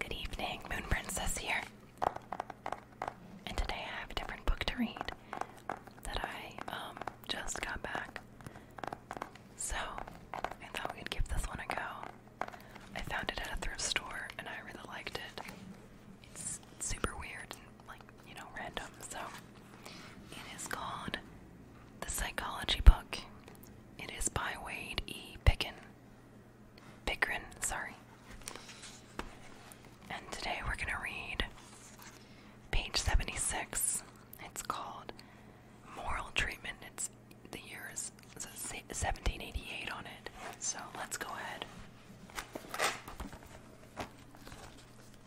Good evening, Moon Princess here. And today I have a different book to read that I um, just got back. So I thought we could give this one a go. I found it at a thrift store and I really liked it. It's super weird like you know, random. So it is called The Psychology Book. It is by Wade E. Picken. Pickren, sorry. And today we're going to read page 76. It's called Moral Treatment. It's the year is 1788 on it. So let's go ahead.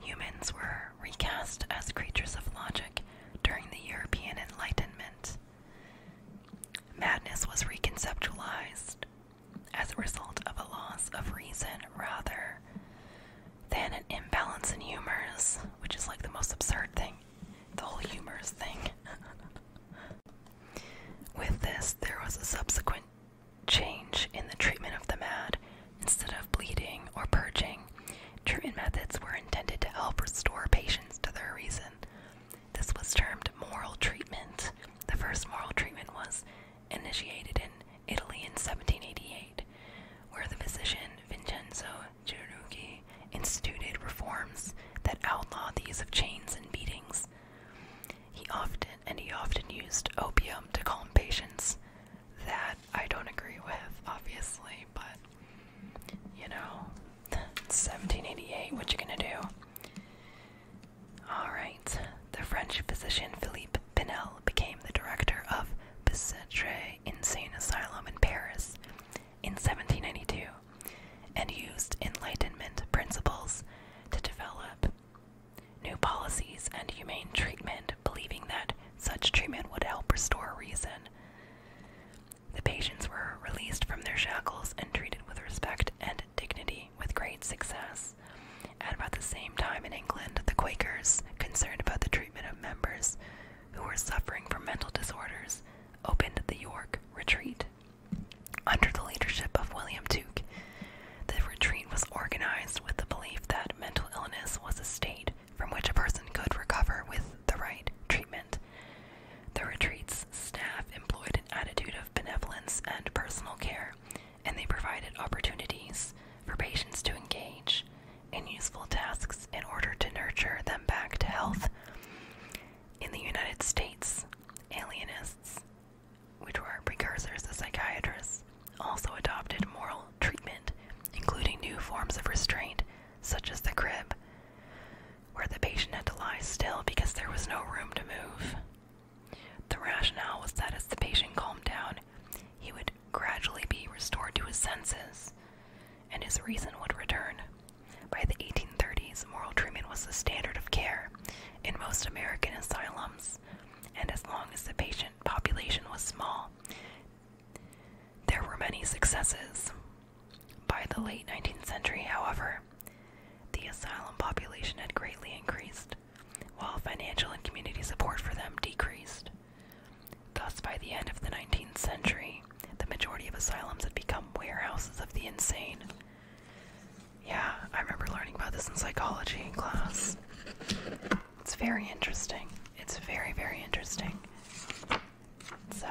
Humans were recast as creatures of logic during the European Enlightenment. Madness was reconceptualized as a result of a loss of reason rather than an imbalance in humors, which is like the most absurd thing, the whole humors thing. With this, there was a subsequent change in the treatment of the mad. Instead of bleeding or purging, treatment methods were intended to help restore patients to their reason. This was termed moral treatment. The first moral treatment was initiated in Italy in 1788, where the physician Vincenzo Girugi instituted reforms that outlawed the use of chains and beatings. He often and he often used opium to calm patients. That I don't agree with, obviously, but you know, 1788, what you gonna do? Alright, the French physician Philippe Pinel became the director of Bicêtre Insane Asylum in Paris in 1792 and used Enlightenment principles to develop new policies and humane treatment, believing that such treatment would help restore reason. The patients were released from their shackles and treated with respect and dignity with great success. At about the same time in England, the Quakers, concerned about the treatment of members who were suffering from mental disorders, opened the York Retreat. Under the leadership of William Duke, the retreat was organized with the belief that mental illness was a state from which a person could recover with the right treatment. The retreat's staff employed an attitude of benevolence and personal care, and they provided opportunities for patients to engage and useful tasks in order to nurture them back to health. In the United States, alienists, which were precursors to psychiatrists, also adopted moral treatment, including new forms of restraint, such as the crib, where the patient had to lie still because there was no room to move. The rationale was that as the patient calmed down, he would gradually be restored to his senses, and his reason would return. By the 1830s, moral treatment was the standard of care in most American asylums, and as long as the patient population was small, there were many successes. By the late 19th century, however, the asylum population had greatly increased, while financial and community support for them decreased. Thus, by the end of the 19th century, the majority of asylums had become warehouses of the insane. Yeah, I remember learning about this in psychology class. It's very interesting. It's very, very interesting. So.